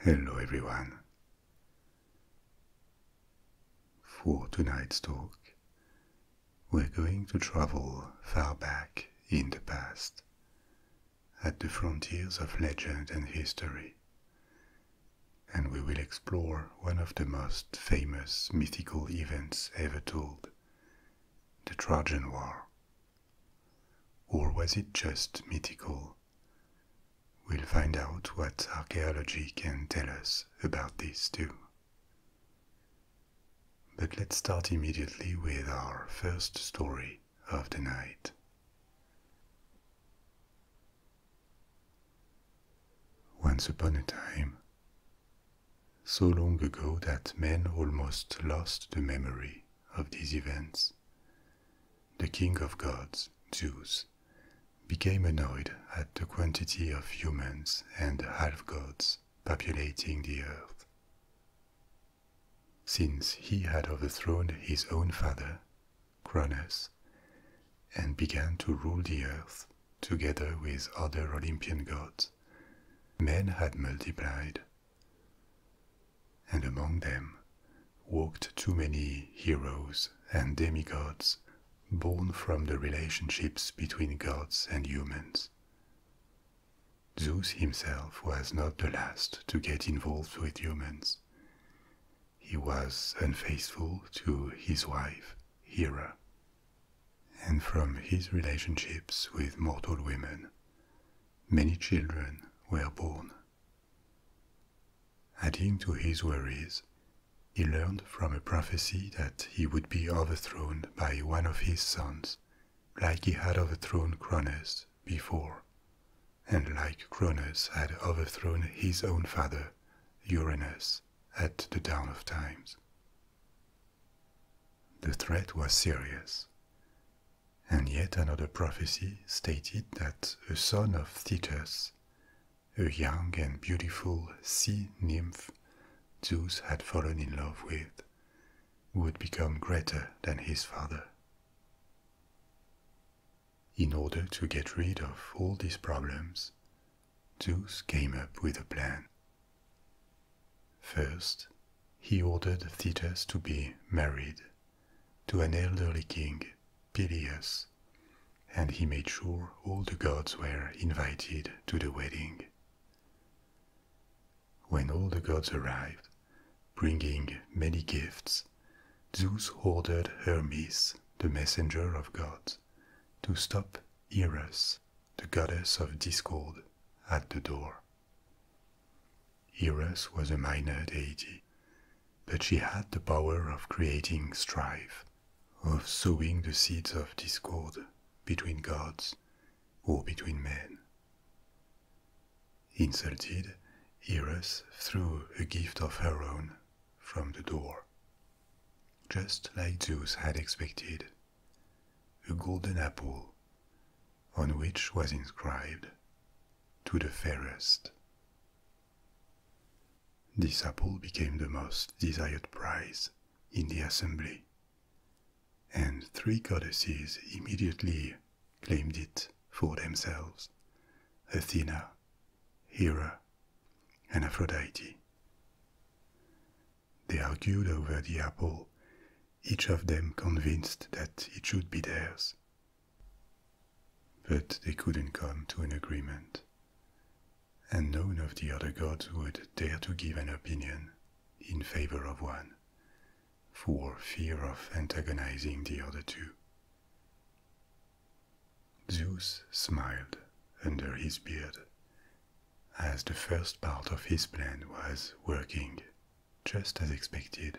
Hello, everyone. For tonight's talk, we're going to travel far back in the past, at the frontiers of legend and history, and we will explore one of the most famous mythical events ever told the Trojan War, or was it just mythical? We'll find out what archaeology can tell us about this too. But let's start immediately with our first story of the night. Once upon a time, so long ago that men almost lost the memory of these events. The king of gods, Zeus, became annoyed at the quantity of humans and half gods populating the earth. Since he had overthrown his own father, Cronus, and began to rule the earth together with other Olympian gods, men had multiplied and among them walked too many heroes and demigods born from the relationships between gods and humans. Zeus himself was not the last to get involved with humans. He was unfaithful to his wife, Hera, and from his relationships with mortal women, many children were born. Adding to his worries, he learned from a prophecy that he would be overthrown by one of his sons, like he had overthrown Cronus before, and like Cronus had overthrown his own father, Uranus, at the dawn of times. The threat was serious. And yet another prophecy stated that a son of Thetis, a young and beautiful sea nymph Zeus had fallen in love with, would become greater than his father. In order to get rid of all these problems, Zeus came up with a plan. First, he ordered Thetis to be married to an elderly king, Peleus, and he made sure all the gods were invited to the wedding. When all the gods arrived, bringing many gifts, Zeus ordered Hermes, the messenger of gods, to stop Eros, the goddess of discord, at the door. Eros was a minor deity, but she had the power of creating strife, of sowing the seeds of discord between gods or between men. Insulted, Eros threw a gift of her own from the door. Just like Zeus had expected, a golden apple on which was inscribed, To the fairest. This apple became the most desired prize in the assembly, and three goddesses immediately claimed it for themselves Athena, Hera, and Aphrodite. They argued over the apple, each of them convinced that it should be theirs, but they couldn't come to an agreement, and none of the other gods would dare to give an opinion in favor of one, for fear of antagonizing the other two. Zeus smiled under his beard as the first part of his plan was working just as expected.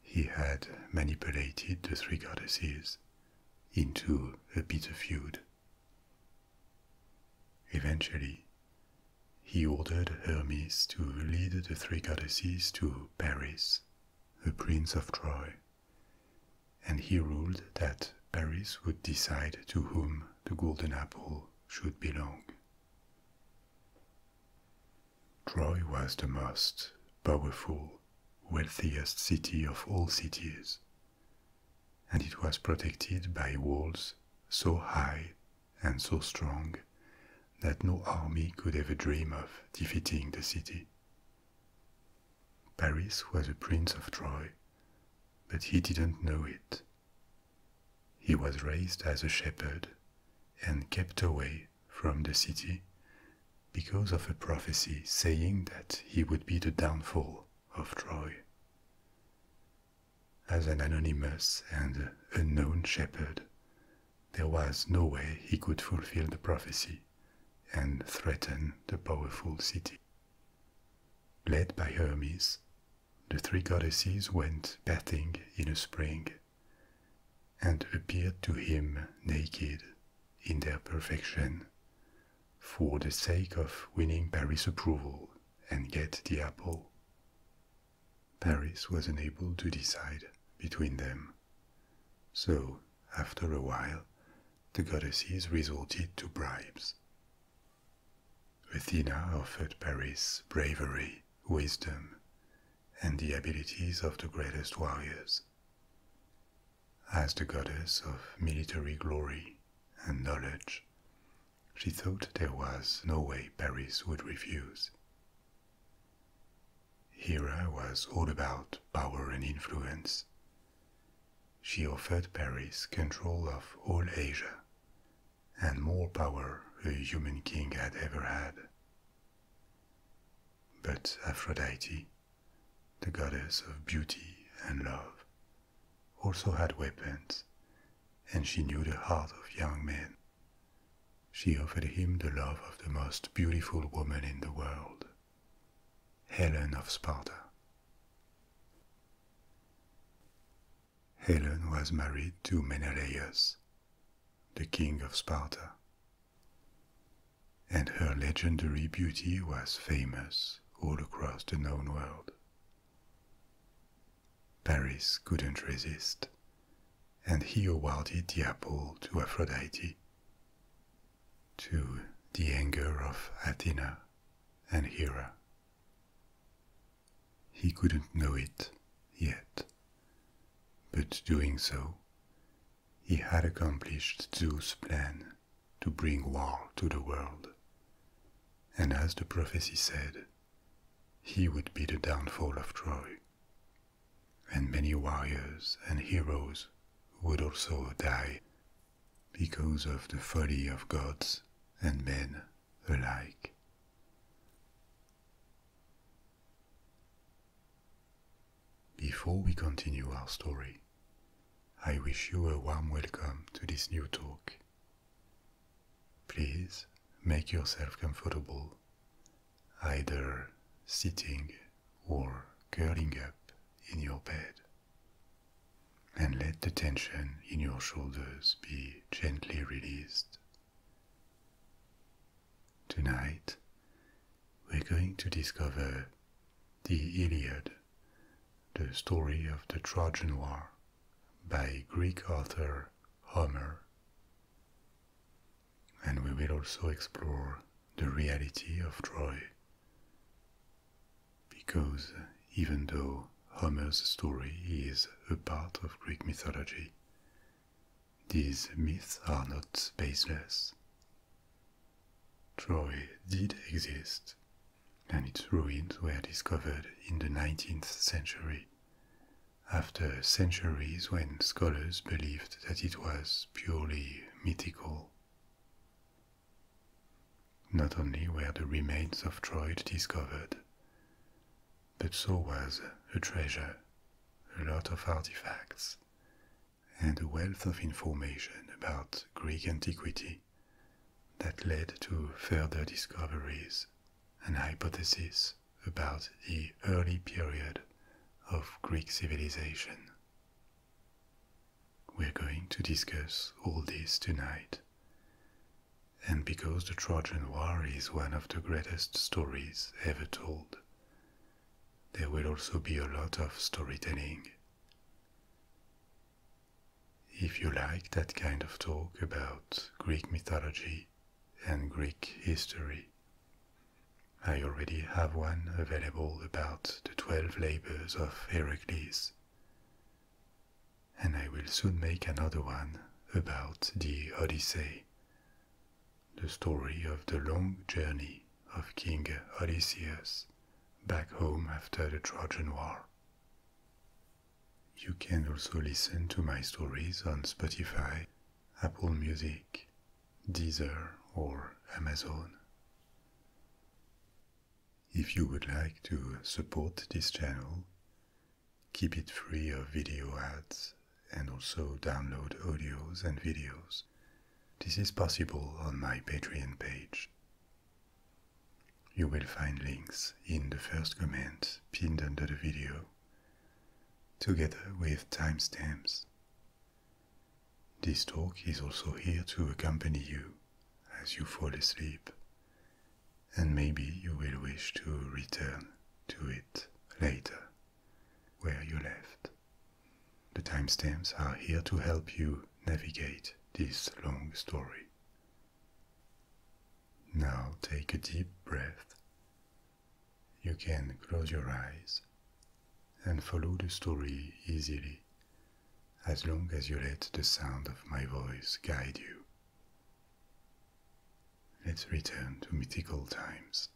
He had manipulated the three goddesses into a bitter feud. Eventually, he ordered Hermes to lead the three goddesses to Paris, the prince of Troy, and he ruled that Paris would decide to whom the golden apple should belong. Troy was the most powerful, wealthiest city of all cities, and it was protected by walls so high and so strong that no army could ever dream of defeating the city. Paris was a prince of Troy, but he didn't know it, he was raised as a shepherd and kept away from the city because of a prophecy saying that he would be the downfall of Troy. As an anonymous and unknown shepherd, there was no way he could fulfill the prophecy and threaten the powerful city. Led by Hermes, the three goddesses went bathing in a spring and appeared to him naked in their perfection for the sake of winning Paris' approval and get the apple. Paris was unable to decide between them. So, after a while, the goddesses resorted to bribes. Athena offered Paris bravery, wisdom, and the abilities of the greatest warriors. As the goddess of military glory and knowledge, she thought there was no way Paris would refuse. Hera was all about power and influence. She offered Paris control of all Asia and more power a human king had ever had. But Aphrodite, the goddess of beauty and love, also had weapons, and she knew the heart of young men. She offered him the love of the most beautiful woman in the world, Helen of Sparta. Helen was married to Menelaus, the king of Sparta, and her legendary beauty was famous all across the known world. Paris couldn't resist, and he awarded the apple to Aphrodite, to the anger of Athena and Hera. He couldn't know it yet, but doing so, he had accomplished Zeus' plan to bring war to the world. And as the prophecy said, he would be the downfall of Troy. And many warriors and heroes would also die because of the folly of gods and men alike. Before we continue our story, I wish you a warm welcome to this new talk. Please make yourself comfortable, either sitting or curling up in your bed, and let the tension in your shoulders be gently released Tonight, we're going to discover the Iliad, the story of the Trojan War by Greek author Homer. And we will also explore the reality of Troy. Because even though Homer's story is a part of Greek mythology, these myths are not baseless. Troy did exist, and its ruins were discovered in the 19th century, after centuries when scholars believed that it was purely mythical. Not only were the remains of Troy discovered, but so was a treasure, a lot of artifacts, and a wealth of information about Greek antiquity that led to further discoveries and hypotheses about the early period of Greek civilization. We're going to discuss all this tonight. And because the Trojan War is one of the greatest stories ever told. There will also be a lot of storytelling. If you like that kind of talk about Greek mythology and Greek history, I already have one available about the 12 labors of Heracles. And I will soon make another one about the Odyssey, the story of the long journey of King Odysseus back home after the Trojan War. You can also listen to my stories on Spotify, Apple Music, Deezer, or Amazon. If you would like to support this channel, keep it free of video ads, and also download audios and videos. This is possible on my Patreon page. You will find links in the first comment pinned under the video, together with timestamps. This talk is also here to accompany you as you fall asleep, and maybe you will wish to return to it later where you left. The timestamps are here to help you navigate this long story. Now take a deep breath. You can close your eyes and follow the story easily as long as you let the sound of my voice guide you. Let's return to mythical times.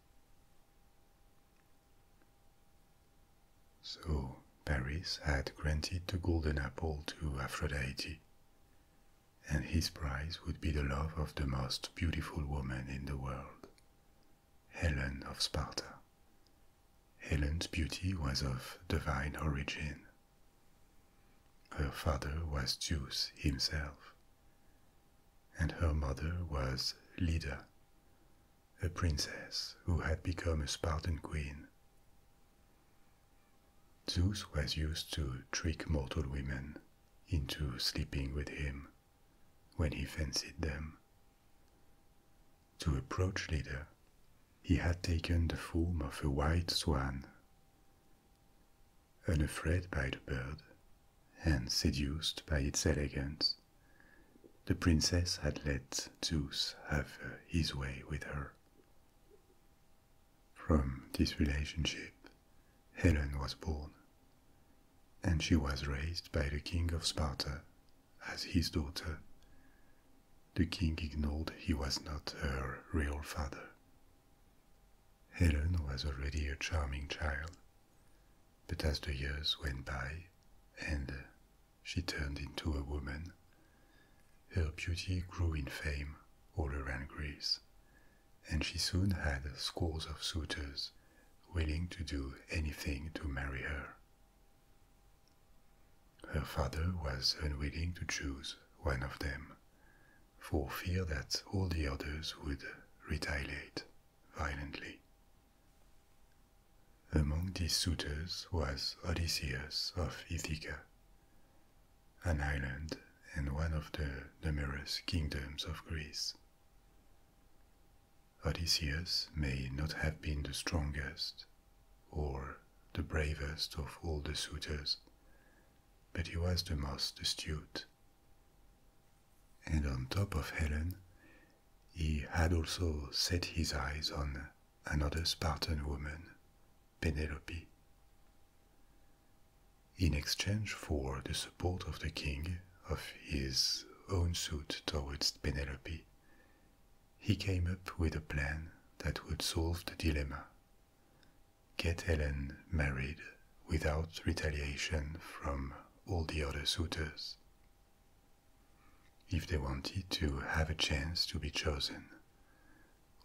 So, Paris had granted the golden apple to Aphrodite, and his prize would be the love of the most beautiful woman in the world, Helen of Sparta. Helen's beauty was of divine origin. Her father was Zeus himself, and her mother was Leda, a princess who had become a Spartan queen. Zeus was used to trick mortal women into sleeping with him when he fancied them. To approach Leda, he had taken the form of a white swan unafraid by the bird and seduced by its elegance. The princess had let Zeus have his way with her. From this relationship, Helen was born, and she was raised by the king of Sparta as his daughter. The king ignored he was not her real father Helen was already a charming child, but as the years went by and she turned into a woman, her beauty grew in fame all around Greece, and she soon had scores of suitors willing to do anything to marry her. Her father was unwilling to choose one of them, for fear that all the others would retaliate violently. Among these suitors was Odysseus of Ithaca, an island and one of the numerous kingdoms of Greece. Odysseus may not have been the strongest or the bravest of all the suitors, but he was the most astute and on top of Helen, he had also set his eyes on another Spartan woman, Penelope. In exchange for the support of the king of his own suit towards Penelope, he came up with a plan that would solve the dilemma get Helen married without retaliation from all the other suitors. If they wanted to have a chance to be chosen,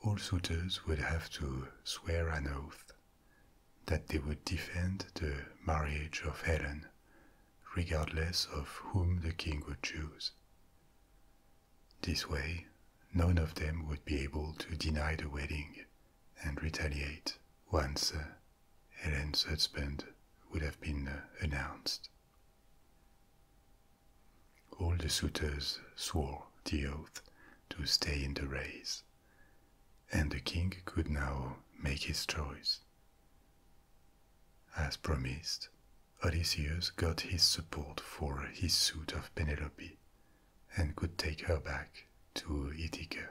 all suitors would have to swear an oath that they would defend the marriage of Helen, regardless of whom the king would choose. This way, none of them would be able to deny the wedding and retaliate once Helen's uh, husband would have been uh, announced. All the suitors swore the oath to stay in the race, and the king could now make his choice. As promised, Odysseus got his support for his suit of Penelope and could take her back to Ithaca.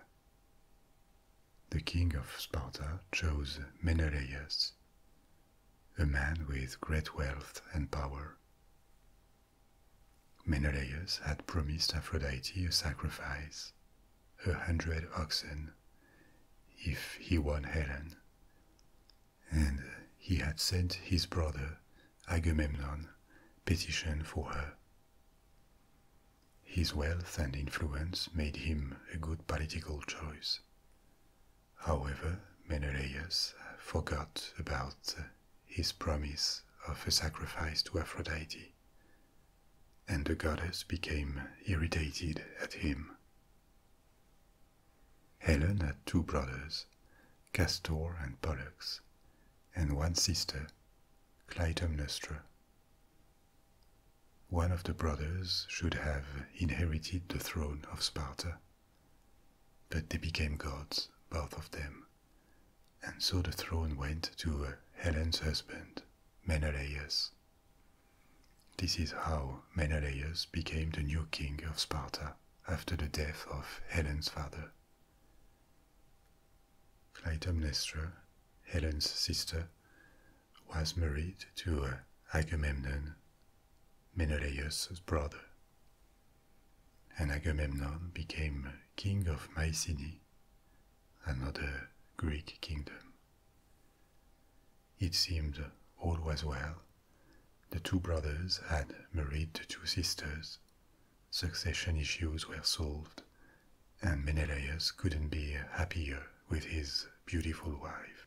The king of Sparta chose Menelaus, a man with great wealth and power. Menelaus had promised Aphrodite a sacrifice, a hundred oxen, if he won Helen, and he had sent his brother Agamemnon petition for her. His wealth and influence made him a good political choice. However, Menelaus forgot about his promise of a sacrifice to Aphrodite, and the goddess became irritated at him. Helen had two brothers, Castor and Pollux, and one sister, Clytemnestra. One of the brothers should have inherited the throne of Sparta, but they became gods, both of them, and so the throne went to Helen's husband, Menelaus. This is how Menelaus became the new king of Sparta after the death of Helen's father. Clytemnestra, Helen's sister, was married to Agamemnon, Menelaus' brother. And Agamemnon became king of Mycenae, another Greek kingdom. It seemed all was well. The two brothers had married the two sisters, succession issues were solved, and Menelaus couldn't be happier with his beautiful wife.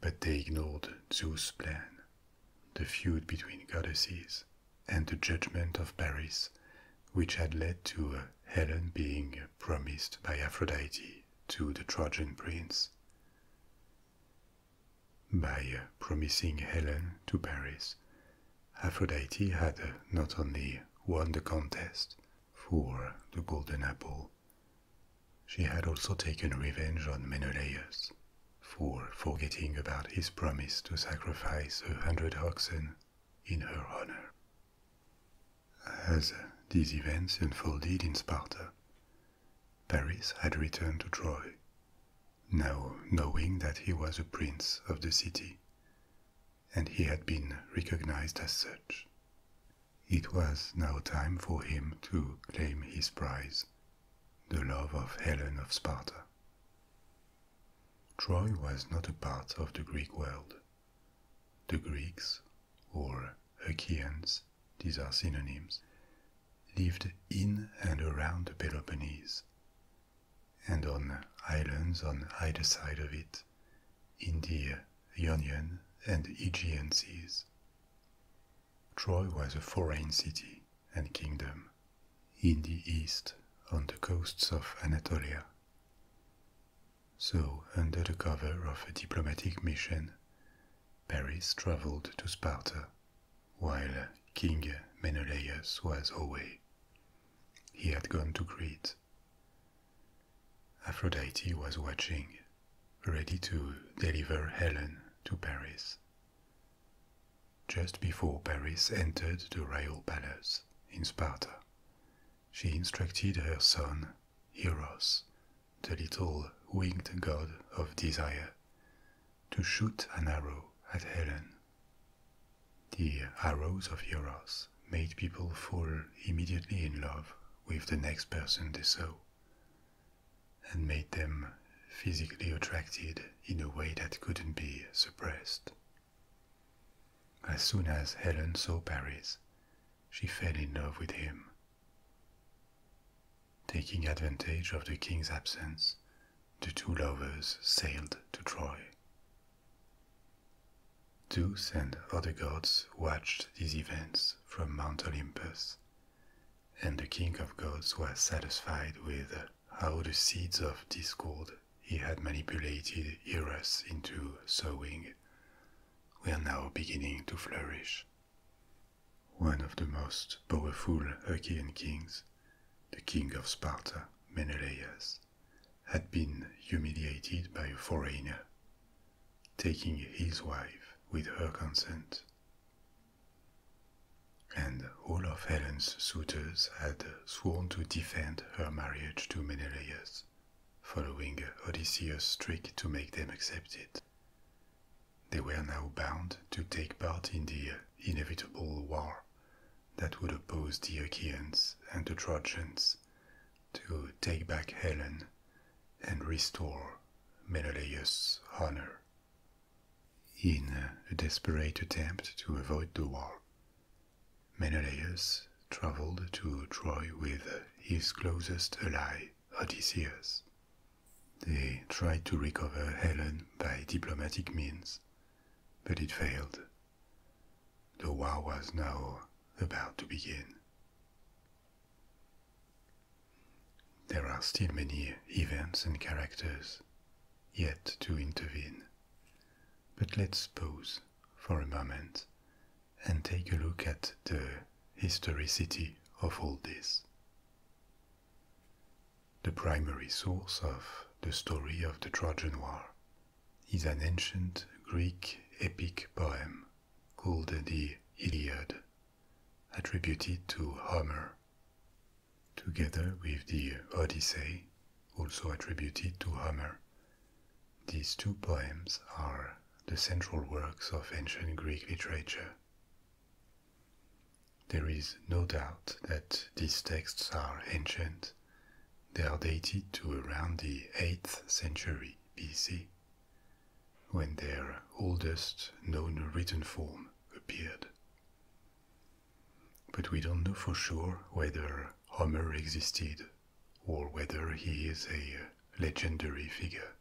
But they ignored Zeus' plan, the feud between goddesses, and the judgment of Paris, which had led to Helen being promised by Aphrodite to the Trojan prince. By promising Helen to Paris, Aphrodite had not only won the contest for the golden apple, she had also taken revenge on Menelaus for forgetting about his promise to sacrifice a hundred oxen in her honor. As these events unfolded in Sparta, Paris had returned to Troy, now knowing that he was a prince of the city, and he had been recognized as such. It was now time for him to claim his prize, the love of Helen of Sparta. Troy was not a part of the Greek world. The Greeks, or Achaeans, these are synonyms, lived in and around the Peloponnese, and on islands on either side of it India, the Ionian and Aegean seas. Troy was a foreign city and kingdom in the east on the coasts of Anatolia. So, under the cover of a diplomatic mission, Paris traveled to Sparta while King Menelaus was away he had gone to Crete. Aphrodite was watching, ready to deliver Helen to Paris. Just before Paris entered the royal palace in Sparta, she instructed her son, Eros, the little winged god of desire, to shoot an arrow at Helen the arrows of Eros made people fall immediately in love with the next person they saw, and made them physically attracted in a way that couldn't be suppressed. As soon as Helen saw Paris, she fell in love with him. Taking advantage of the king's absence, the two lovers sailed to Troy. Zeus and other gods watched these events from Mount Olympus, and the king of gods was satisfied with how the seeds of discord he had manipulated Eros into sowing were now beginning to flourish. One of the most powerful Achaean kings, the king of Sparta, Menelaus, had been humiliated by a foreigner, taking his wife with her consent. And all of Helen's suitors had sworn to defend her marriage to Menelaus, following Odysseus' trick to make them accept it. They were now bound to take part in the inevitable war that would oppose the Achaeans and the Trojans to take back Helen and restore Menelaus' honor. In a desperate attempt to avoid the war, Menelaus traveled to Troy with his closest ally, Odysseus. They tried to recover Helen by diplomatic means, but it failed the war was now about to begin. There are still many events and characters yet to intervene, but let's pause for a moment and take a look at the historicity of all this. The primary source of the story of the Trojan War is an ancient Greek epic poem called the Iliad, attributed to Homer, together with the Odyssey, also attributed to Homer. These two poems are the central works of ancient Greek literature. There is no doubt that these texts are ancient they are dated to around the 8th century BC, when their oldest known written form appeared. But we don't know for sure whether Homer existed or whether he is a legendary figure.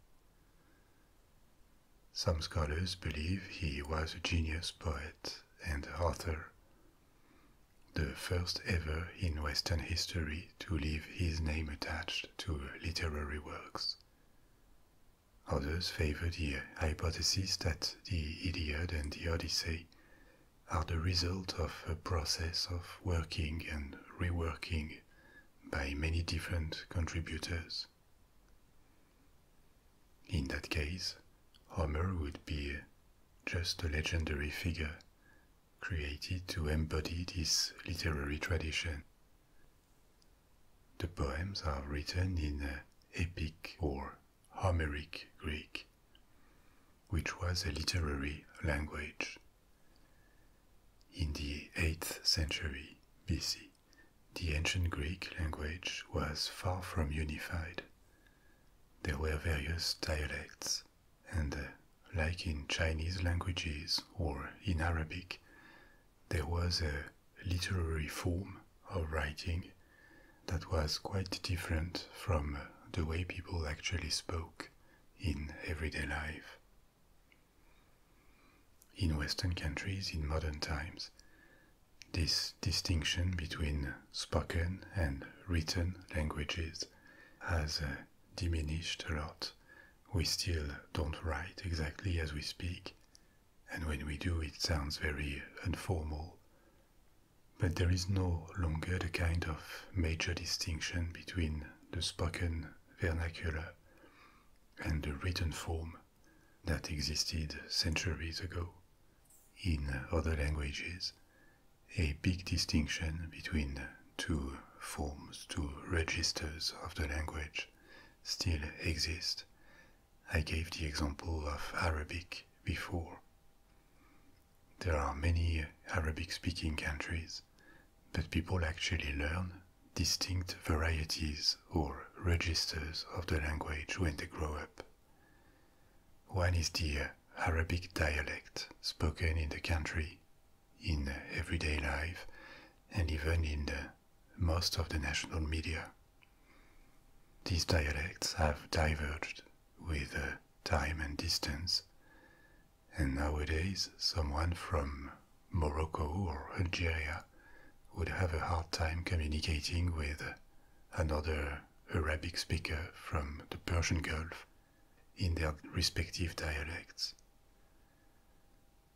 Some scholars believe he was a genius poet and author, the first ever in Western history to leave his name attached to literary works. Others favor the hypothesis that the Iliad and the Odyssey are the result of a process of working and reworking by many different contributors. In that case, Homer would be just a legendary figure created to embody this literary tradition. The poems are written in epic or Homeric Greek, which was a literary language. In the 8th century BC, the ancient Greek language was far from unified there were various dialects, and uh, like in Chinese languages or in Arabic, there was a literary form of writing that was quite different from uh, the way people actually spoke in everyday life. In Western countries in modern times, this distinction between spoken and written languages has uh, diminished a lot. We still don't write exactly as we speak, and when we do, it sounds very informal. But there is no longer the kind of major distinction between the spoken vernacular and the written form that existed centuries ago. In other languages, a big distinction between two forms, two registers of the language still exist. I gave the example of Arabic before. There are many Arabic speaking countries, but people actually learn distinct varieties or registers of the language when they grow up. One is the uh, Arabic dialect spoken in the country, in uh, everyday life, and even in uh, most of the national media. These dialects have diverged with time and distance, and nowadays someone from Morocco or Algeria would have a hard time communicating with another Arabic speakers from the Persian Gulf in their respective dialects.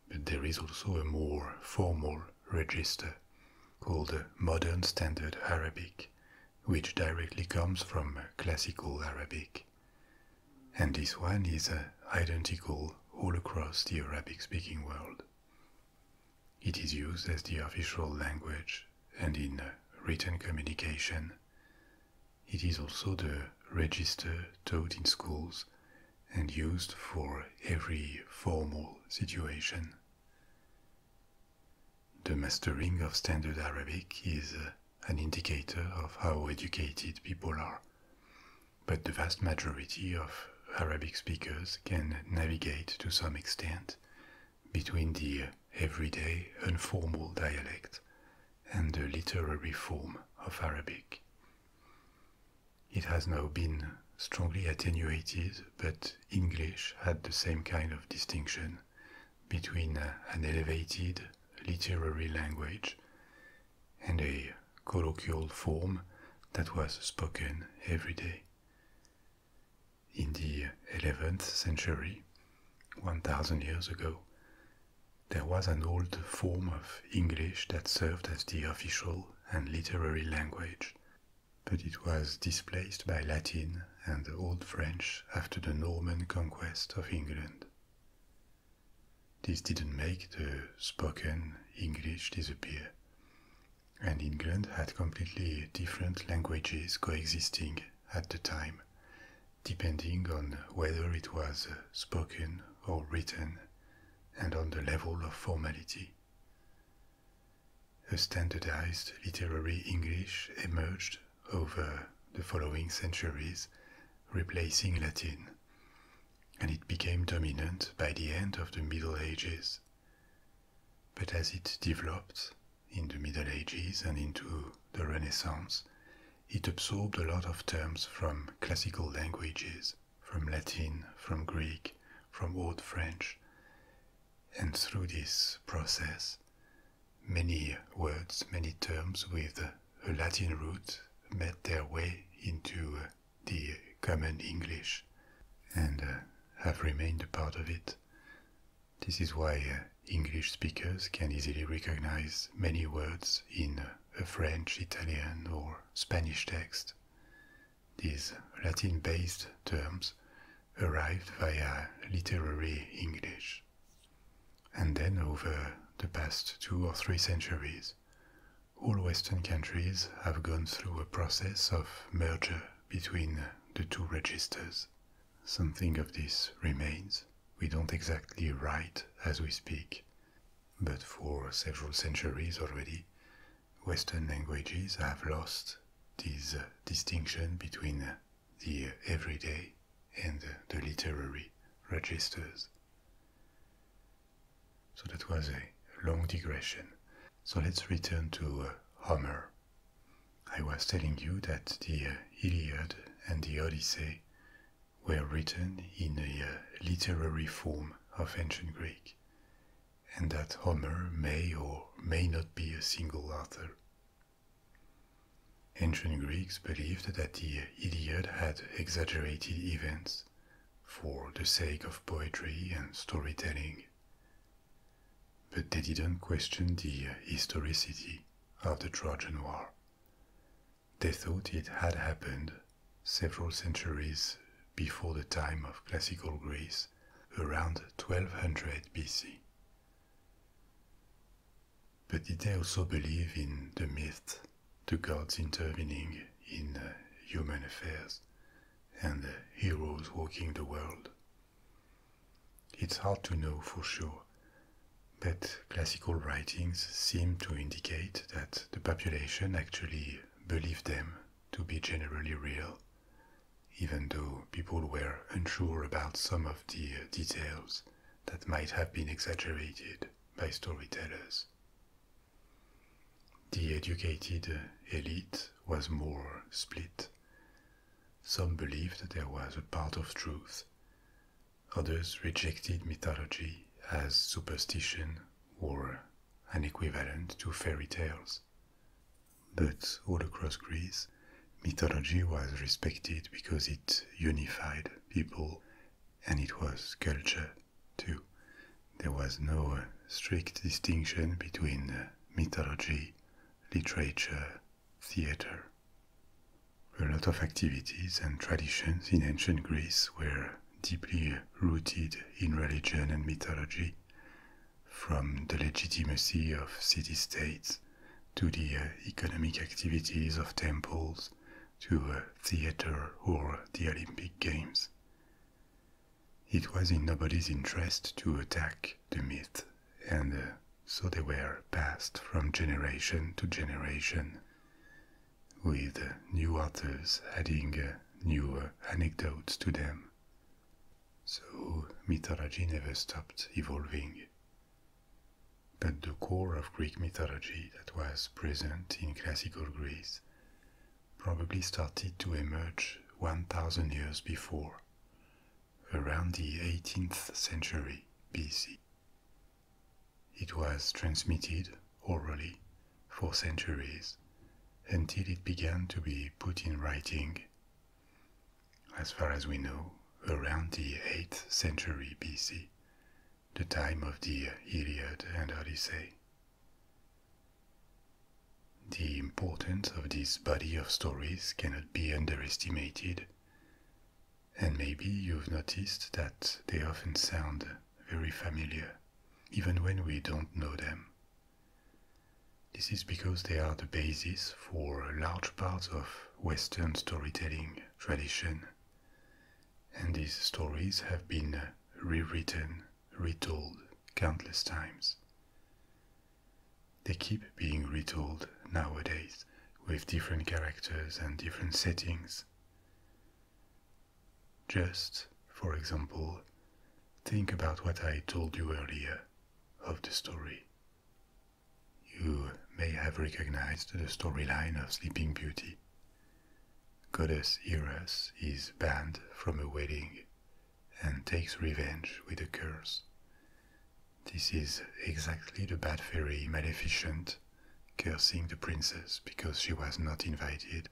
But there is also a more formal register called Modern Standard Arabic, which directly comes from Classical Arabic. And this one is uh, identical all across the Arabic speaking world. It is used as the official language and in written communication. It is also the register taught in schools and used for every formal situation. The mastering of Standard Arabic is uh, an indicator of how educated people are, but the vast majority of Arabic speakers can navigate to some extent between the everyday informal dialect and the literary form of Arabic. It has now been strongly attenuated, but English had the same kind of distinction between an elevated literary language and a colloquial form that was spoken every day in the 11th century, 1000 years ago, there was an old form of English that served as the official and literary language, but it was displaced by Latin and Old French after the Norman conquest of England. This didn't make the spoken English disappear, and England had completely different languages coexisting at the time, depending on whether it was uh, spoken or written, and on the level of formality. A standardized literary English emerged over the following centuries, replacing Latin, and it became dominant by the end of the Middle Ages. But as it developed, in the Middle Ages and into the Renaissance, it absorbed a lot of terms from classical languages, from Latin, from Greek, from Old French. And through this process, many words, many terms with a Latin root made their way into uh, the common English and uh, have remained a part of it this is why uh, English speakers can easily recognize many words in a French, Italian, or Spanish text. These Latin based terms arrived via literary English. And then over the past two or three centuries, all Western countries have gone through a process of merger between the two registers, Something of this remains. We don't exactly write as we speak, but for several centuries already, Western languages have lost this uh, distinction between uh, the everyday and uh, the literary registers. So that was a long digression. So let's return to Homer I was telling you that the uh, Iliad and the Odyssey were written in a uh, literary form of ancient Greek, and that Homer may or may not be a single author. Ancient Greeks believed that the uh, Iliad had exaggerated events for the sake of poetry and storytelling, but they didn't question the historicity of the Trojan War. They thought it had happened several centuries before the time of classical Greece, around 1200 BC. But did they also believe in the myth, the gods intervening in uh, human affairs, and heroes walking the world? It's hard to know for sure, but classical writings seem to indicate that the population actually believed them to be generally real, even though people were unsure about some of the uh, details that might have been exaggerated by storytellers. The educated uh, elite was more split, some believed there was a part of truth. Others rejected mythology as superstition or an equivalent to fairy tales. But all across Greece, mythology was respected because it unified people and it was culture too. There was no strict distinction between mythology, literature, theater. A lot of activities and traditions in ancient Greece were deeply rooted in religion and mythology, from the legitimacy of city states to the uh, economic activities of temples to uh, theater or the Olympic Games. It was in nobody's interest to attack the myth and uh, so they were passed from generation to generation, with new authors adding uh, new uh, anecdotes to them. So mythology never stopped evolving. But the core of Greek mythology that was present in classical Greece probably started to emerge 1000 years before around the 18th century BC. It was transmitted orally for centuries until it began to be put in writing, as far as we know, around the 8th century BC, the time of the Iliad and Odyssey. The importance of this body of stories cannot be underestimated and maybe you've noticed that they often sound very familiar, even when we don't know them. This is because they are the basis for large parts of Western storytelling tradition. And these stories have been rewritten, retold countless times. They keep being retold nowadays with different characters and different settings. Just, for example, think about what I told you earlier of the story. You may have recognized the storyline of Sleeping Beauty. Goddess Eros is banned from a wedding and takes revenge with a curse, this is exactly the bad fairy Maleficent cursing the princess because she was not invited.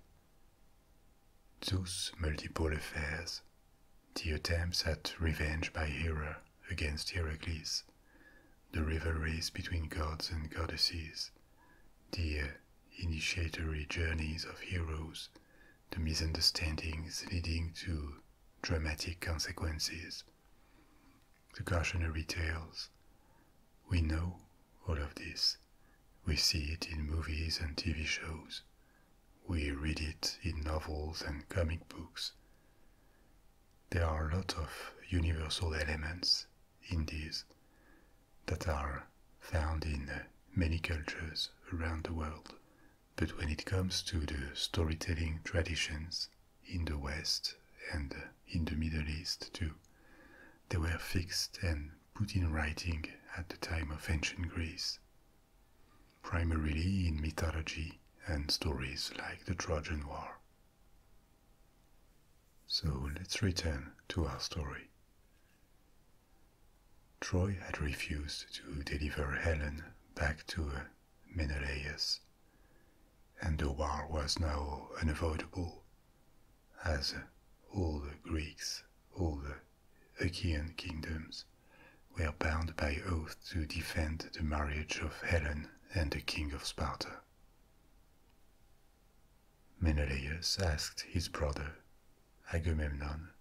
Zeus' multiple affairs, the attempts at revenge by Hera against Heracles, the rivalries between gods and goddesses, the initiatory journeys of heroes, the misunderstandings leading to dramatic consequences, the cautionary tales. We know all of this. We see it in movies and TV shows. We read it in novels and comic books. There are a lot of universal elements in these that are found in many cultures around the world but when it comes to the storytelling traditions in the West and in the Middle East too, they were fixed and put in writing at the time of ancient Greece, primarily in mythology and stories like the Trojan War. So let's return to our story. Troy had refused to deliver Helen back to Menelaus, and the war was now unavoidable, as all the Greeks, all the Achaean kingdoms were bound by oath to defend the marriage of Helen and the king of Sparta. Menelaus asked his brother, Agamemnon,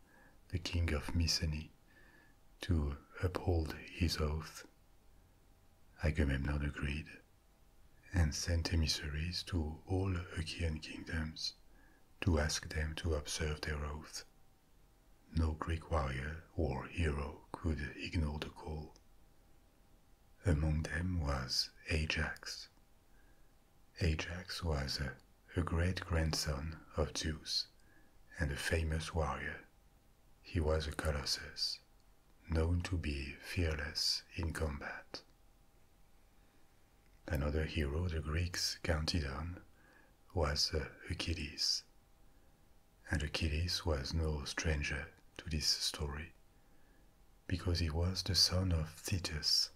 the king of Mycenae, to uphold his oath Agamemnon agreed and sent emissaries to all the Achaean kingdoms to ask them to observe their oath. No Greek warrior or hero could ignore the call. Among them was Ajax. Ajax was a great grandson of Zeus and a famous warrior he was a colossus, known to be fearless in combat. Another hero the Greeks counted on was uh, Achilles. And Achilles was no stranger to this story, because he was the son of Thetis,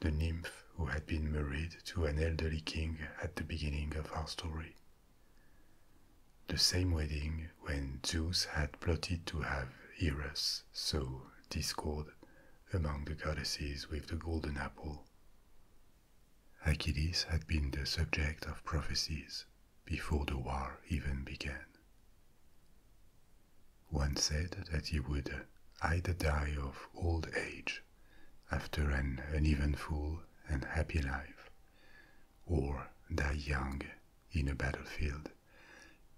the nymph who had been married to an elderly king at the beginning of our story. The same wedding when Zeus had plotted to have Eros sow discord among the goddesses with the golden apple. Achilles had been the subject of prophecies before the war even began. One said that he would either die of old age after an uneventful and happy life, or die young in a battlefield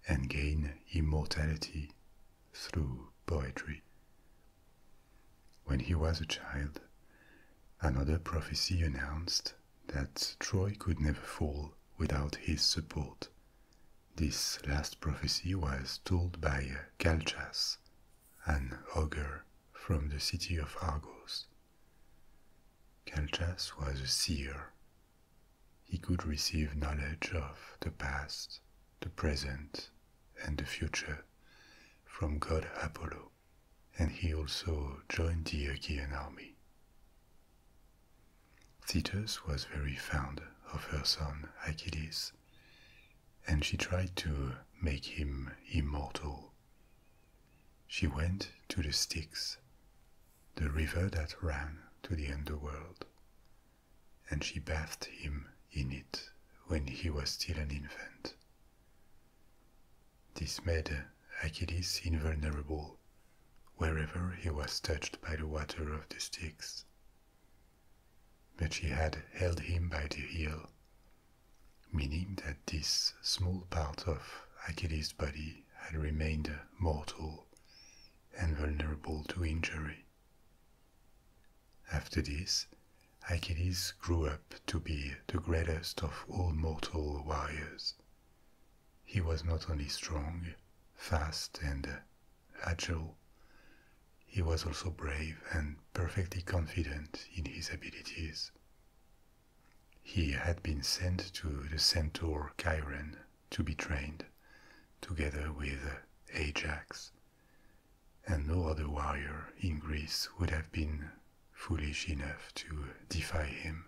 and gain immortality through poetry. When he was a child, another prophecy announced that Troy could never fall without his support. This last prophecy was told by Calchas, an augur from the city of Argos. Calchas was a seer. He could receive knowledge of the past, the present, and the future from god Apollo, and he also joined the Achaean army. Thetis was very fond of her son Achilles, and she tried to make him immortal she went to the Styx, the river that ran to the underworld, and she bathed him in it when he was still an infant. This made Achilles invulnerable wherever he was touched by the water of the Styx. But she had held him by the heel meaning that this small part of Achilles' body had remained mortal and vulnerable to injury. After this, Achilles grew up to be the greatest of all mortal warriors. He was not only strong, fast, and agile, he was also brave and perfectly confident in his abilities. He had been sent to the centaur Chiron to be trained, together with Ajax. And no other warrior in Greece would have been foolish enough to defy him.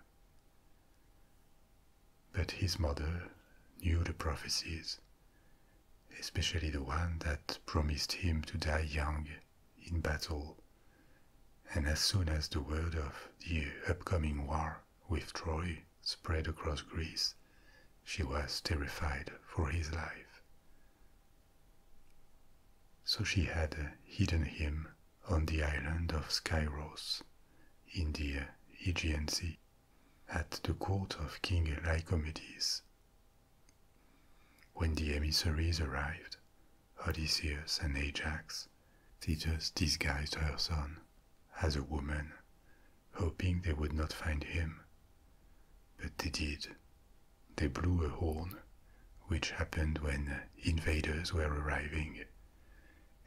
But his mother knew the prophecies, especially the one that promised him to die young in battle and as soon as the word of the upcoming war with Troy spread across Greece, she was terrified for his life. So she had hidden him on the island of Skyros in the Aegean Sea at the court of King Lycomedes. When the emissaries arrived, Odysseus and Ajax, Thetis disguised her son as a woman, hoping they would not find him. But they did. They blew a horn, which happened when invaders were arriving,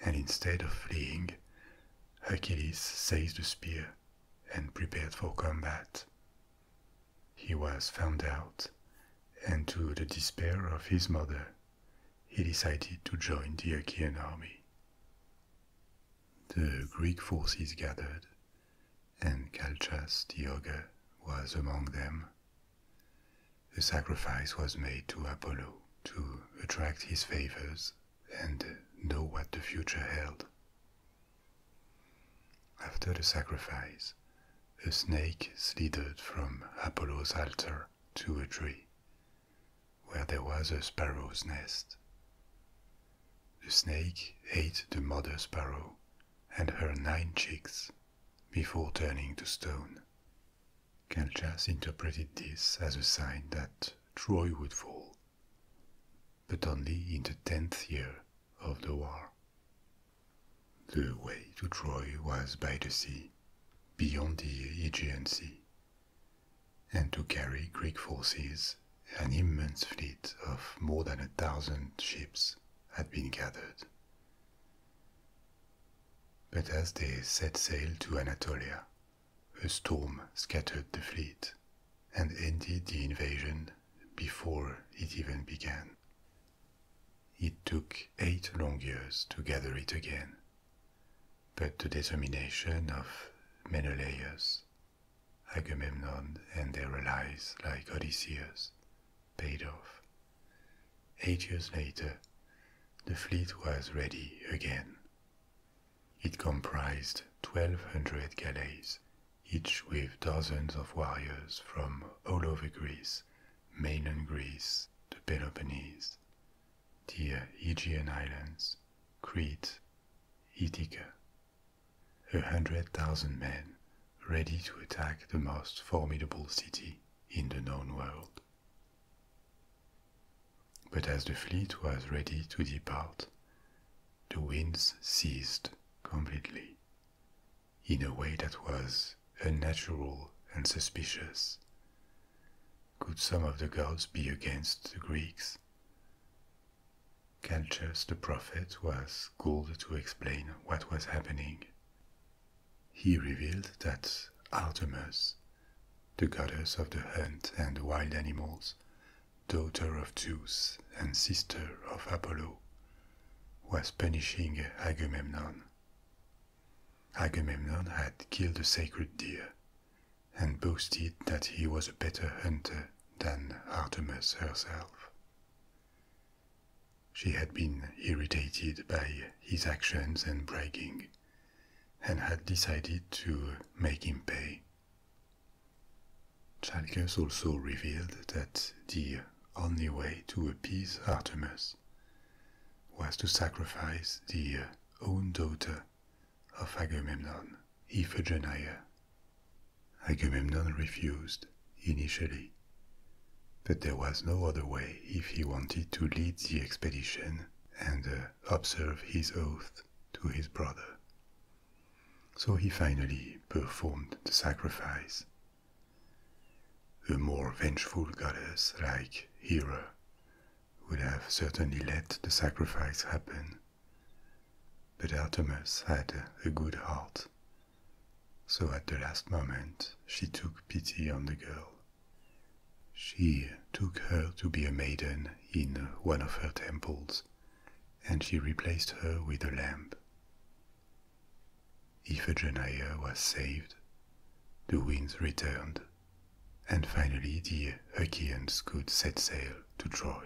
and instead of fleeing, Hercules seized a spear and prepared for combat. He was found out, and to the despair of his mother, he decided to join the Achaean army. The Greek forces gathered, and Calchas the ogre was among them. A sacrifice was made to Apollo to attract his favors and know what the future held. After the sacrifice, a snake slithered from Apollo's altar to a tree, where there was a sparrow's nest. The snake ate the mother sparrow and her nine chicks before turning to stone. Calchas interpreted this as a sign that Troy would fall, but only in the tenth year of the war. The way to Troy was by the sea, beyond the Aegean Sea, and to carry Greek forces, an immense fleet of more than a thousand ships had been gathered. But as they set sail to Anatolia, a storm scattered the fleet and ended the invasion before it even began. It took eight long years to gather it again, but the determination of Menelaus, Agamemnon, and their allies like Odysseus paid off. Eight years later, the fleet was ready again. It comprised 1,200 galleys, each with dozens of warriors from all over Greece mainland Greece, the Peloponnese, the Aegean Islands, Crete, Ithaca. A hundred thousand men ready to attack the most formidable city in the known world. But as the fleet was ready to depart, the winds ceased completely, in a way that was unnatural and suspicious. Could some of the gods be against the Greeks? Calchas the prophet was called to explain what was happening. He revealed that Artemis, the goddess of the hunt and wild animals, daughter of Zeus and sister of Apollo, was punishing Agamemnon. Agamemnon had killed a sacred deer and boasted that he was a better hunter than Artemis herself. She had been irritated by his actions and bragging, and had decided to make him pay. Chalcus also revealed that the only way to appease Artemis was to sacrifice the uh, own daughter of Agamemnon, Iphigenia. Agamemnon refused initially, but there was no other way if he wanted to lead the expedition and uh, observe his oath to his brother. So he finally performed the sacrifice a more vengeful goddess like Hera would have certainly let the sacrifice happen. But Artemis had a good heart, so at the last moment she took pity on the girl. She took her to be a maiden in one of her temples, and she replaced her with a lamb. Iphigenia was saved, the winds returned, and finally the Achaeans could set sail to Troy.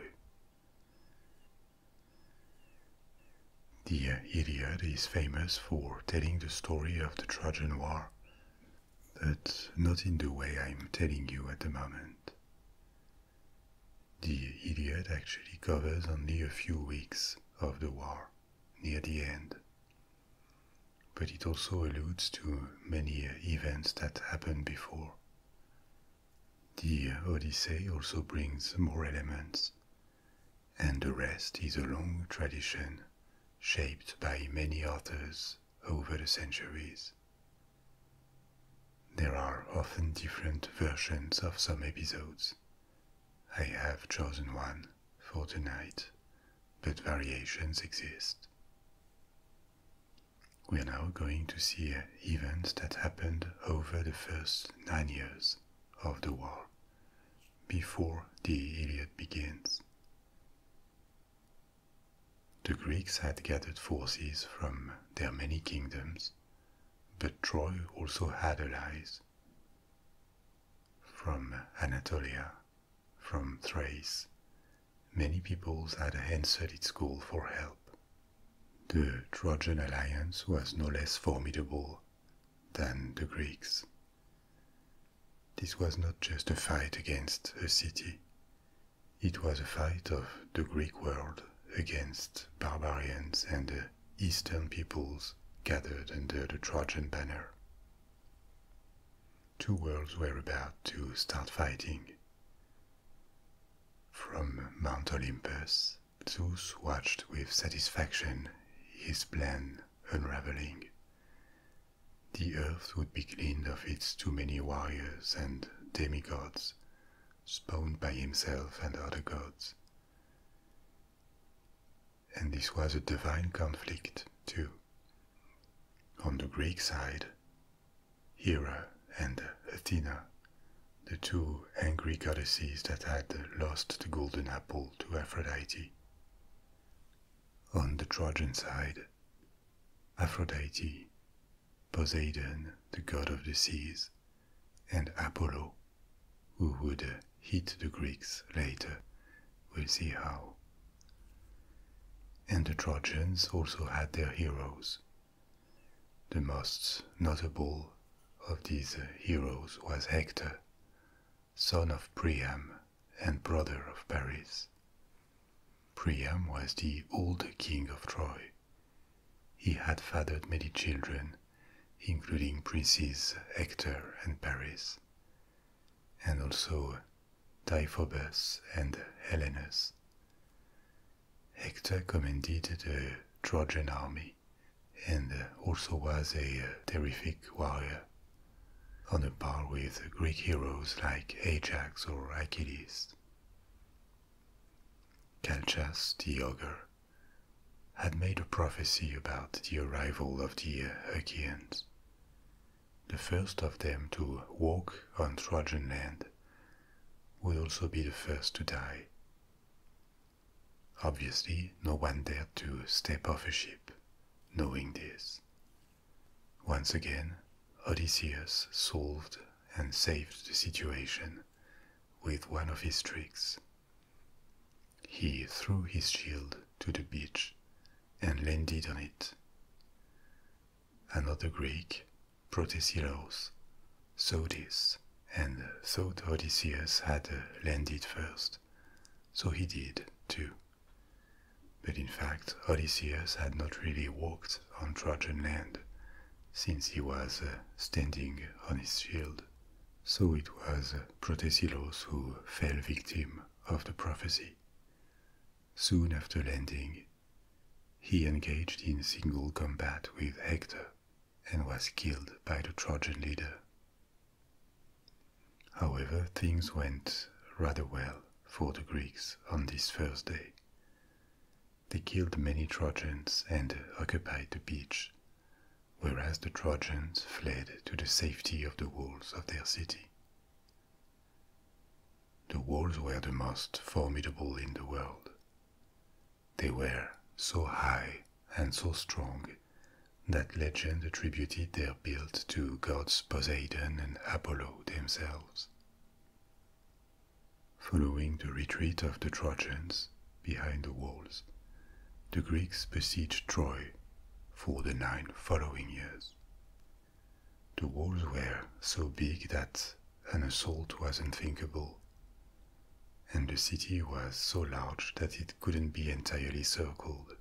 The Iliad is famous for telling the story of the Trojan War, but not in the way I'm telling you at the moment. The Iliad actually covers only a few weeks of the war near the end. But it also alludes to many events that happened before. The Odyssey also brings more elements, and the rest is a long tradition shaped by many authors over the centuries. There are often different versions of some episodes, I have chosen one for tonight, but variations exist. We are now going to see events that happened over the first nine years of the war, before the Iliad begins. The Greeks had gathered forces from their many kingdoms, but Troy also had allies from Anatolia, from Thrace, many peoples had answered its call for help. The Trojan alliance was no less formidable than the Greeks. This was not just a fight against a city. It was a fight of the Greek world against barbarians and Eastern peoples gathered under the Trojan banner. Two worlds were about to start fighting. From Mount Olympus, Zeus watched with satisfaction his plan unraveling. The earth would be cleaned of its too many warriors and demigods, spawned by himself and other gods. And this was a divine conflict, too. On the Greek side, Hera and Athena, the two angry goddesses that had lost the golden apple to Aphrodite. On the Trojan side, Aphrodite, Poseidon, the god of the seas, and Apollo, who would hit the Greeks later. We'll see how. And the Trojans also had their heroes. The most notable of these heroes was Hector, son of Priam and brother of Paris. Priam was the old king of Troy. He had fathered many children, including princes Hector and Paris, and also Diophobus and Helenus. Hector commanded the Trojan army and also was a terrific warrior, on a par with Greek heroes like Ajax or Achilles. Calchas the ogre had made a prophecy about the arrival of the Achaeans, the first of them to walk on Trojan land. Would also be the first to die. Obviously, no one dared to step off a ship, knowing this. Once again, Odysseus solved and saved the situation with one of his tricks. He threw his shield to the beach and landed on it. Another Greek, Protesilaus, saw this and thought Odysseus had landed first, so he did too. But in fact, Odysseus had not really walked on Trojan land, since he was uh, standing on his shield. So it was Protesilaus who fell victim of the prophecy. Soon after landing, he engaged in single combat with Hector and was killed by the Trojan leader. However, things went rather well for the Greeks on this first day. They killed many Trojans and occupied the beach whereas the Trojans fled to the safety of the walls of their city. The walls were the most formidable in the world. They were so high and so strong that legend attributed their build to gods Poseidon and Apollo themselves. Following the retreat of the Trojans, behind the walls. The Greeks besieged Troy for the nine following years. The walls were so big that an assault was unthinkable, and the city was so large that it couldn't be entirely circled,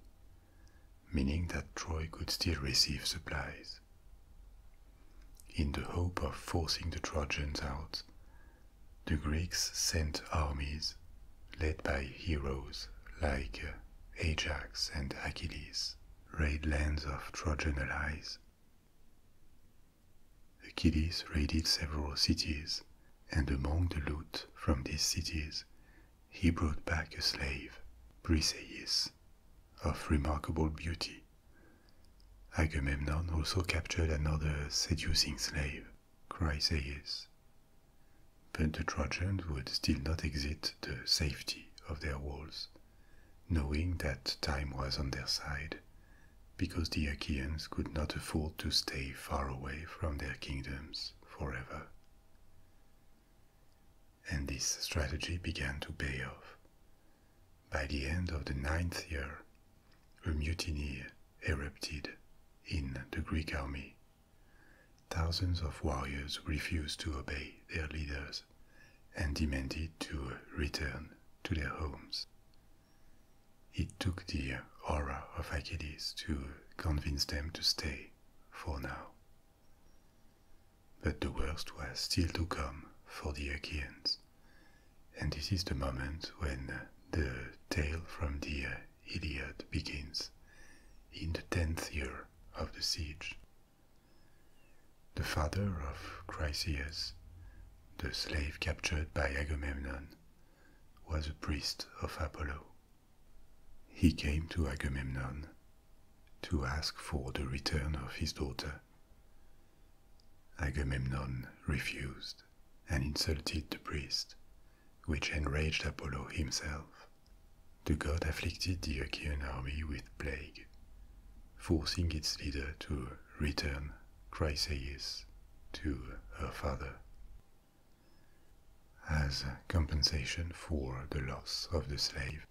meaning that Troy could still receive supplies. In the hope of forcing the Trojans out, the Greeks sent armies led by heroes like Ajax and Achilles raid lands of Trojan allies. Achilles raided several cities, and among the loot from these cities, he brought back a slave, Briseis, of remarkable beauty. Agamemnon also captured another seducing slave, Chryseis, but the Trojans would still not exit the safety of their walls, knowing that time was on their side, because the Achaeans could not afford to stay far away from their kingdoms forever. And this strategy began to pay off. By the end of the ninth year, a mutiny erupted in the Greek army. Thousands of warriors refused to obey their leaders and demanded to return to their homes. It took the aura of Achilles to convince them to stay for now. But the worst was still to come for the Achaeans, and this is the moment when the tale from the Iliad begins, in the tenth year of the siege. The father of Chryseis, the slave captured by Agamemnon, was a priest of Apollo. He came to Agamemnon to ask for the return of his daughter. Agamemnon refused and insulted the priest, which enraged Apollo himself. The god afflicted the Achaean army with plague, forcing its leader to return Chryseis to her father. As compensation for the loss of the slave,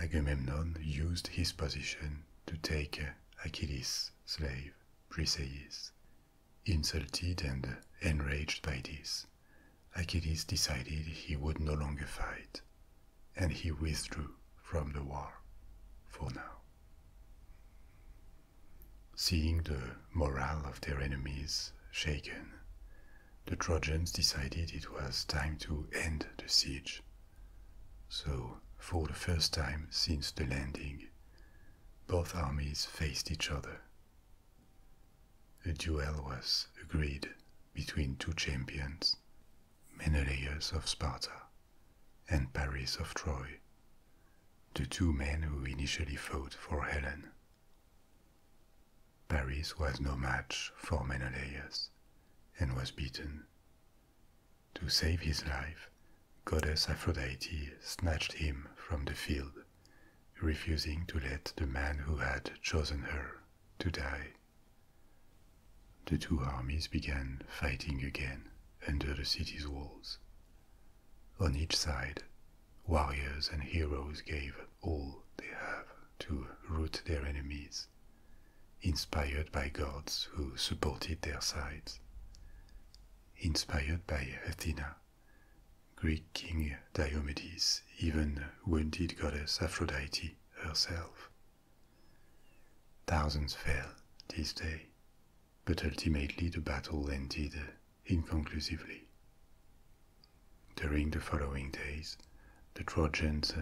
Agamemnon used his position to take Achilles' slave, Briseis, Insulted and enraged by this, Achilles decided he would no longer fight, and he withdrew from the war for now. Seeing the morale of their enemies shaken, the Trojans decided it was time to end the siege. So, for the first time since the landing, both armies faced each other a duel was agreed between two champions, Menelaus of Sparta and Paris of Troy, the two men who initially fought for Helen. Paris was no match for Menelaus and was beaten. To save his life, goddess Aphrodite snatched him from the field refusing to let the man who had chosen her to die. The two armies began fighting again under the city's walls. On each side, warriors and heroes gave all they have to root their enemies, inspired by gods who supported their sides. Inspired by Athena, Greek king Diomedes even wounded goddess Aphrodite herself. Thousands fell this day, but ultimately the battle ended inconclusively. During the following days, the Trojans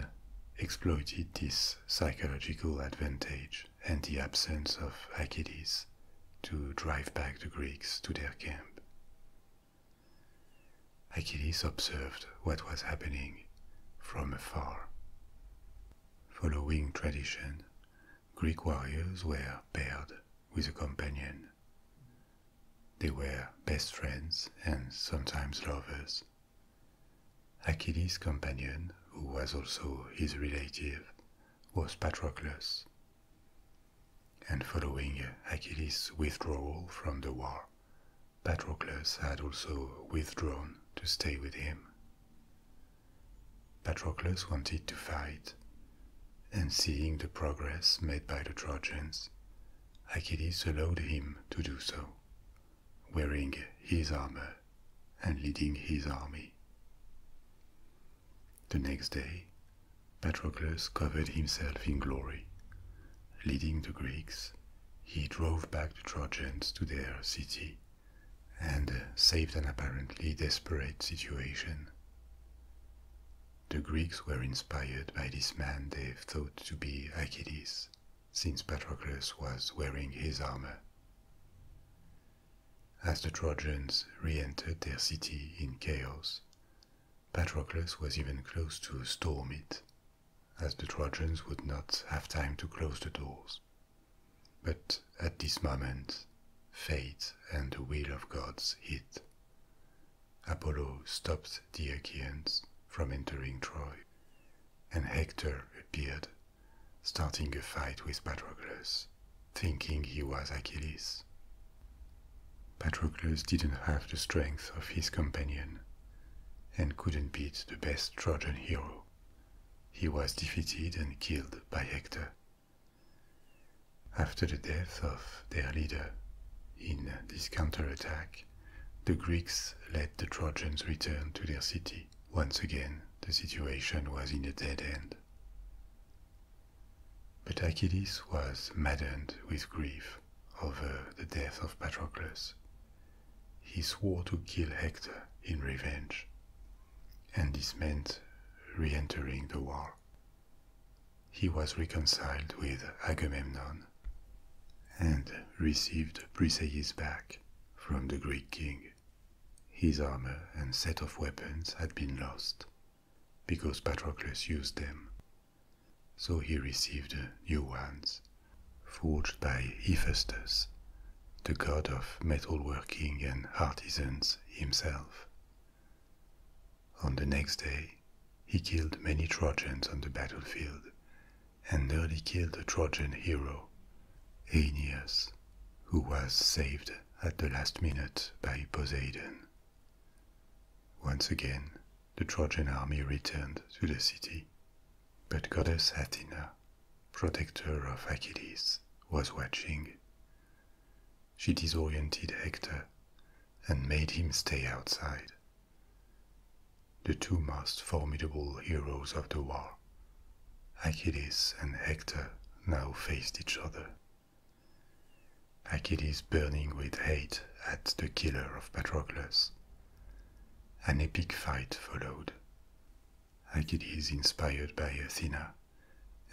exploited this psychological advantage and the absence of Achilles to drive back the Greeks to their camp. Achilles observed what was happening from afar. Following tradition, Greek warriors were paired with a companion. They were best friends and sometimes lovers. Achilles' companion, who was also his relative, was Patroclus, and following Achilles' withdrawal from the war, Patroclus had also withdrawn to stay with him. Patroclus wanted to fight, and seeing the progress made by the Trojans, Achilles allowed him to do so, wearing his armor and leading his army. The next day, Patroclus covered himself in glory. Leading the Greeks, he drove back the Trojans to their city and saved an apparently desperate situation. The Greeks were inspired by this man they thought to be Achilles, since Patroclus was wearing his armor. As the Trojans re-entered their city in chaos, Patroclus was even close to storm it, as the Trojans would not have time to close the doors. But at this moment, fate and the will of gods hit. Apollo stopped the Achaeans from entering Troy, and Hector appeared, starting a fight with Patroclus thinking he was Achilles. Patroclus didn't have the strength of his companion and couldn't beat the best Trojan hero. He was defeated and killed by Hector. After the death of their leader in this counterattack, the Greeks let the Trojans return to their city. Once again, the situation was in a dead end. But Achilles was maddened with grief over the death of Patroclus. He swore to kill Hector in revenge, and this meant re entering the war. He was reconciled with Agamemnon and received Briseis back from the Greek king. His armor and set of weapons had been lost, because Patroclus used them. So he received new ones, forged by Hephaestus, the god of metalworking and artisans himself. On the next day, he killed many Trojans on the battlefield and nearly killed the Trojan hero, Aeneas, who was saved at the last minute by Poseidon. Once again, the Trojan army returned to the city, but goddess Athena, protector of Achilles, was watching. She disoriented Hector and made him stay outside. The two most formidable heroes of the war, Achilles and Hector, now faced each other. Achilles burning with hate at the killer of Patroclus. An epic fight followed. Achilles inspired by Athena,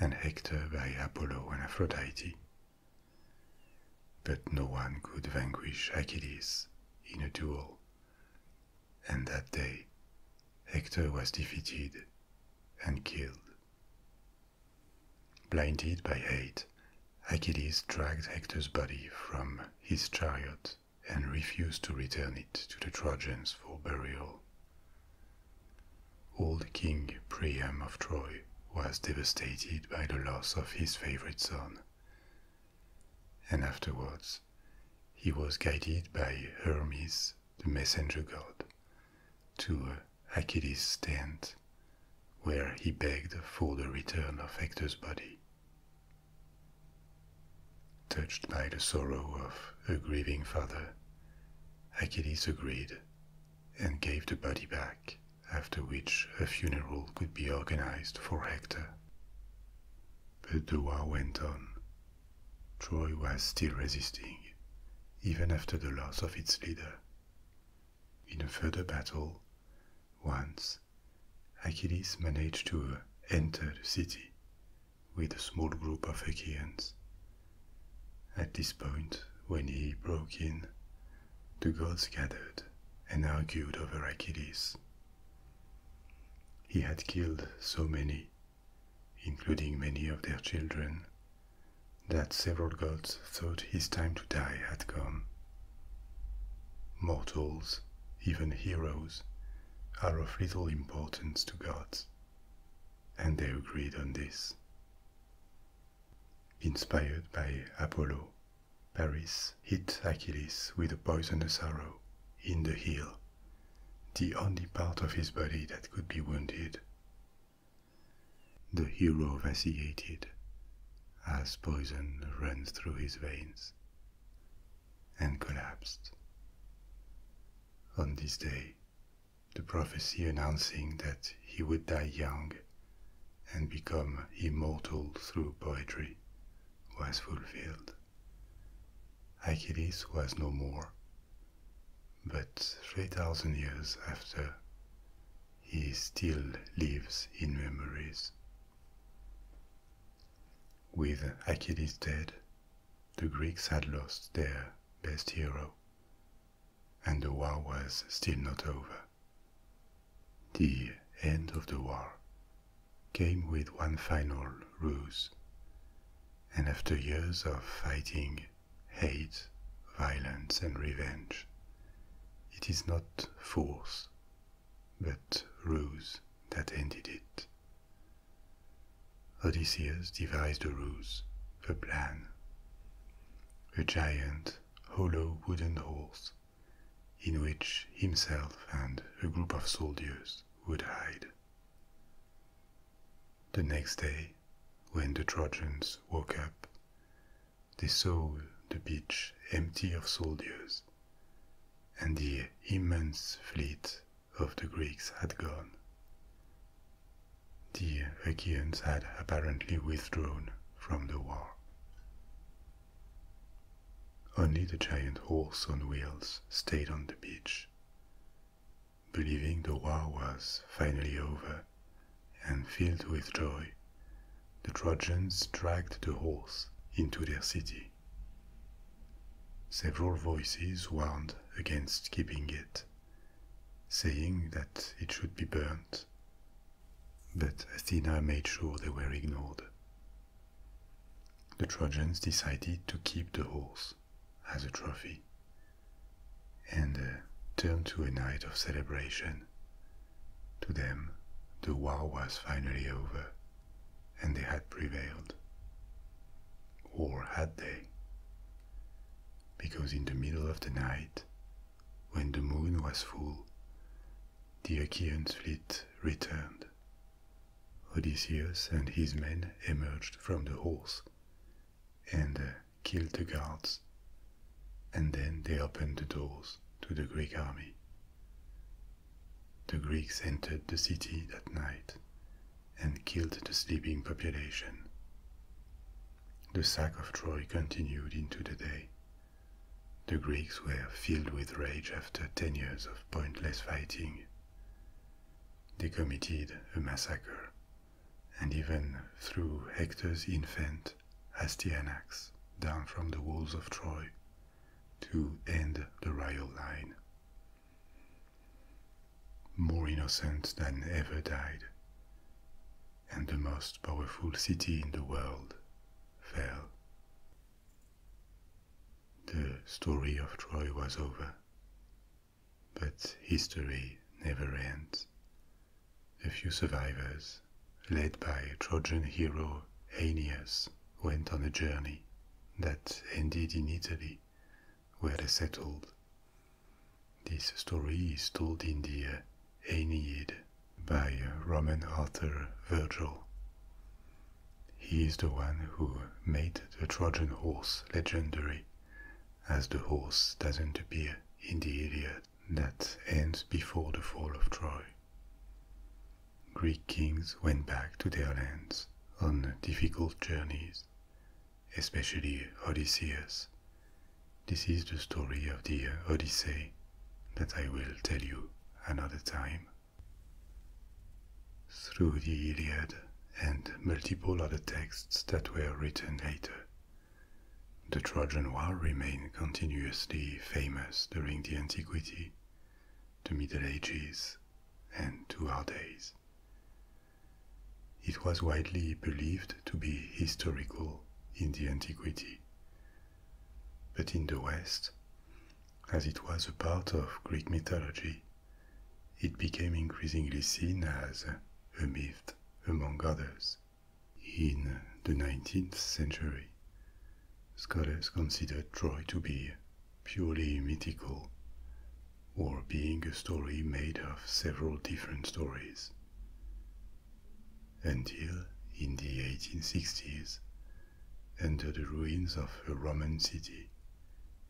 and Hector by Apollo and Aphrodite. But no one could vanquish Achilles in a duel, and that day Hector was defeated and killed. Blinded by hate, Achilles dragged Hector's body from his chariot and refused to return it to the Trojans for burial. Old King Priam of Troy was devastated by the loss of his favorite son. And afterwards, he was guided by Hermes, the messenger god to Achilles' tent, where he begged for the return of Hector's body. Touched by the sorrow of a grieving father, Achilles agreed and gave the body back, after which a funeral could be organized for Hector. But the war went on. Troy was still resisting, even after the loss of its leader. In a further battle, once, Achilles managed to enter the city with a small group of Achaeans. At this point, when he broke in, the gods gathered and argued over Achilles. He had killed so many, including many of their children, that several gods thought his time to die had come. Mortals, even heroes, are of little importance to gods, and they agreed on this. Inspired by Apollo, Paris hit Achilles with a poisonous arrow in the heel, the only part of his body that could be wounded, the hero vacillated as poison ran through his veins and collapsed. On this day, the prophecy announcing that he would die young and become immortal through poetry was fulfilled. Achilles was no more, but 3,000 years after, he still lives in memories. With Achilles dead, the Greeks had lost their best hero, and the war was still not over. The end of the war came with one final ruse, and after years of fighting hate, violence, and revenge. It is not force, but ruse that ended it. Odysseus devised a ruse, a plan. A giant, hollow wooden horse, in which himself and a group of soldiers would hide. The next day, when the Trojans woke up, they saw the beach empty of soldiers, and the immense fleet of the Greeks had gone. The Achaeans had apparently withdrawn from the war. Only the giant horse on wheels stayed on the beach believing the war was finally over, and filled with joy, the Trojans dragged the horse into their city. Several voices warned against keeping it, saying that it should be burnt. But Athena made sure they were ignored. The Trojans decided to keep the horse as a trophy and uh, turned to a night of celebration. To them, the war was finally over, and they had prevailed. Or had they? Because in the middle of the night, when the moon was full, the Achaean fleet returned. Odysseus and his men emerged from the horse and uh, killed the guards, and then they opened the doors to the Greek army. The Greeks entered the city that night and killed the sleeping population. The sack of Troy continued into the day. The Greeks were filled with rage after ten years of pointless fighting. They committed a massacre and even through Hector's infant Astyanax down from the walls of Troy to end the royal line. More innocent than ever died, and the most powerful city in the world fell. The story of Troy was over, but history never ends. A few survivors, led by Trojan hero Aeneas, went on a journey that ended in Italy, where they settled. This story is told in the Aeneid by Roman author Virgil. He is the one who made the Trojan horse legendary, as the horse doesn't appear in the Iliad that ends before the fall of Troy. Greek kings went back to their lands on difficult journeys, especially Odysseus. This is the story of the Odyssey that I will tell you another time. Through the Iliad and multiple other texts that were written later, the Trojan War remained continuously famous during the Antiquity, the Middle Ages, and to our days. It was widely believed to be historical in the Antiquity, but in the West, as it was a part of Greek mythology, it became increasingly seen as a myth among others. In the 19th century, scholars considered Troy to be purely mythical, or being a story made of several different stories. Until in the 1860s, under the ruins of a Roman city,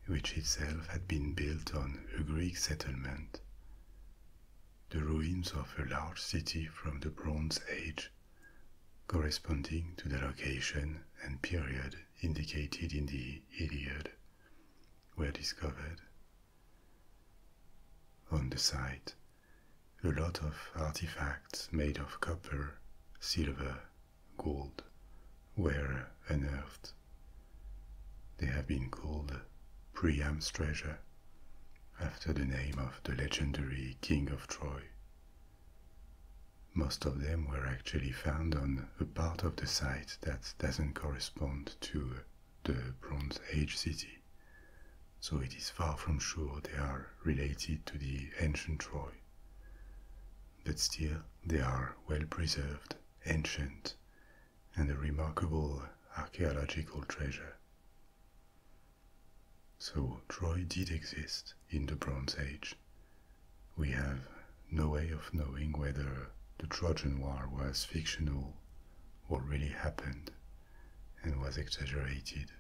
which itself had been built on a Greek settlement, the ruins of a large city from the Bronze Age, corresponding to the location and period indicated in the Iliad, were discovered. On the site, a lot of artifacts made of copper, silver, gold were unearthed they have been called Priam's treasure, after the name of the legendary king of Troy. Most of them were actually found on a part of the site that doesn't correspond to the Bronze Age city, so it is far from sure they are related to the ancient Troy. But still, they are well preserved, ancient, and a remarkable archaeological treasure. So, Troy did exist in the Bronze Age. We have no way of knowing whether the Trojan War was fictional what really happened and was exaggerated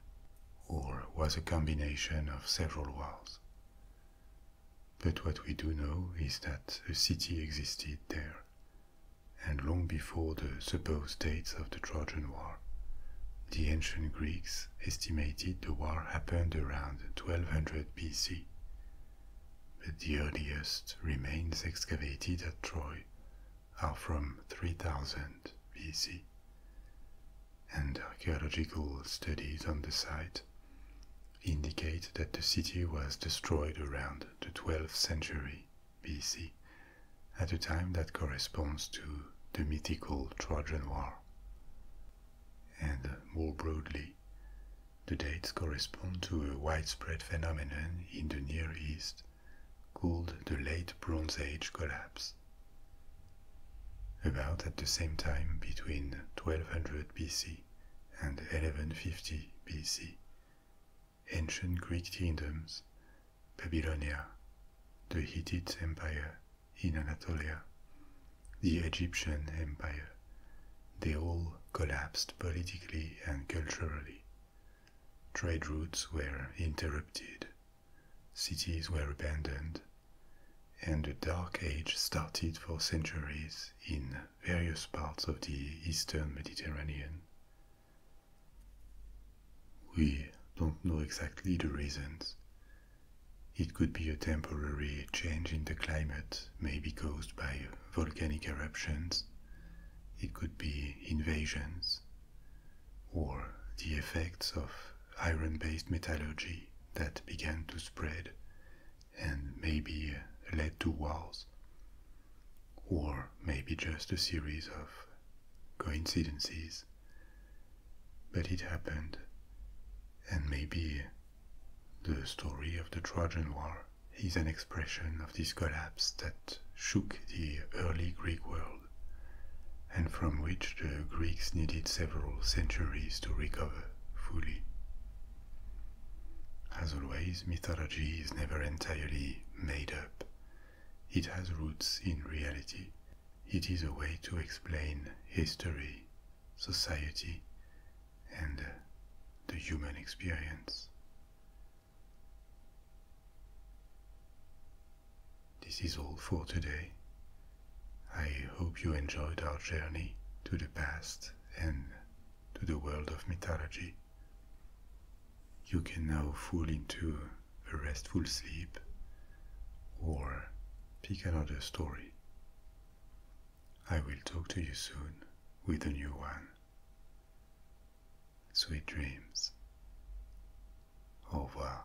or was a combination of several wars. But what we do know is that a city existed there and long before the supposed dates of the Trojan War. The ancient Greeks estimated the war happened around 1200 BC, but the earliest remains excavated at Troy are from 3000 BC, and archaeological studies on the site indicate that the city was destroyed around the 12th century BC, at a time that corresponds to the mythical Trojan War. And more broadly, the dates correspond to a widespread phenomenon in the Near East called the Late Bronze Age Collapse. About at the same time between 1200 BC and 1150 BC, ancient Greek kingdoms, Babylonia, the Hittite Empire in Anatolia, the Egyptian Empire, they all collapsed politically and culturally. Trade routes were interrupted, cities were abandoned, and the Dark Age started for centuries in various parts of the eastern Mediterranean, we don't know exactly the reasons. It could be a temporary change in the climate, maybe caused by volcanic eruptions. It could be invasions or the effects of iron based metallurgy that began to spread and maybe led to wars or maybe just a series of coincidences. But it happened, and maybe the story of the Trojan War is an expression of this collapse that shook the early Greek world, and from which the Greeks needed several centuries to recover fully. As always, mythology is never entirely made up. It has roots in reality. It is a way to explain history, society, and uh, the human experience. This is all for today. I hope you enjoyed our journey to the past and to the world of mythology you can now fall into a restful sleep or pick another story. I will talk to you soon with a new one. Sweet dreams. Au revoir.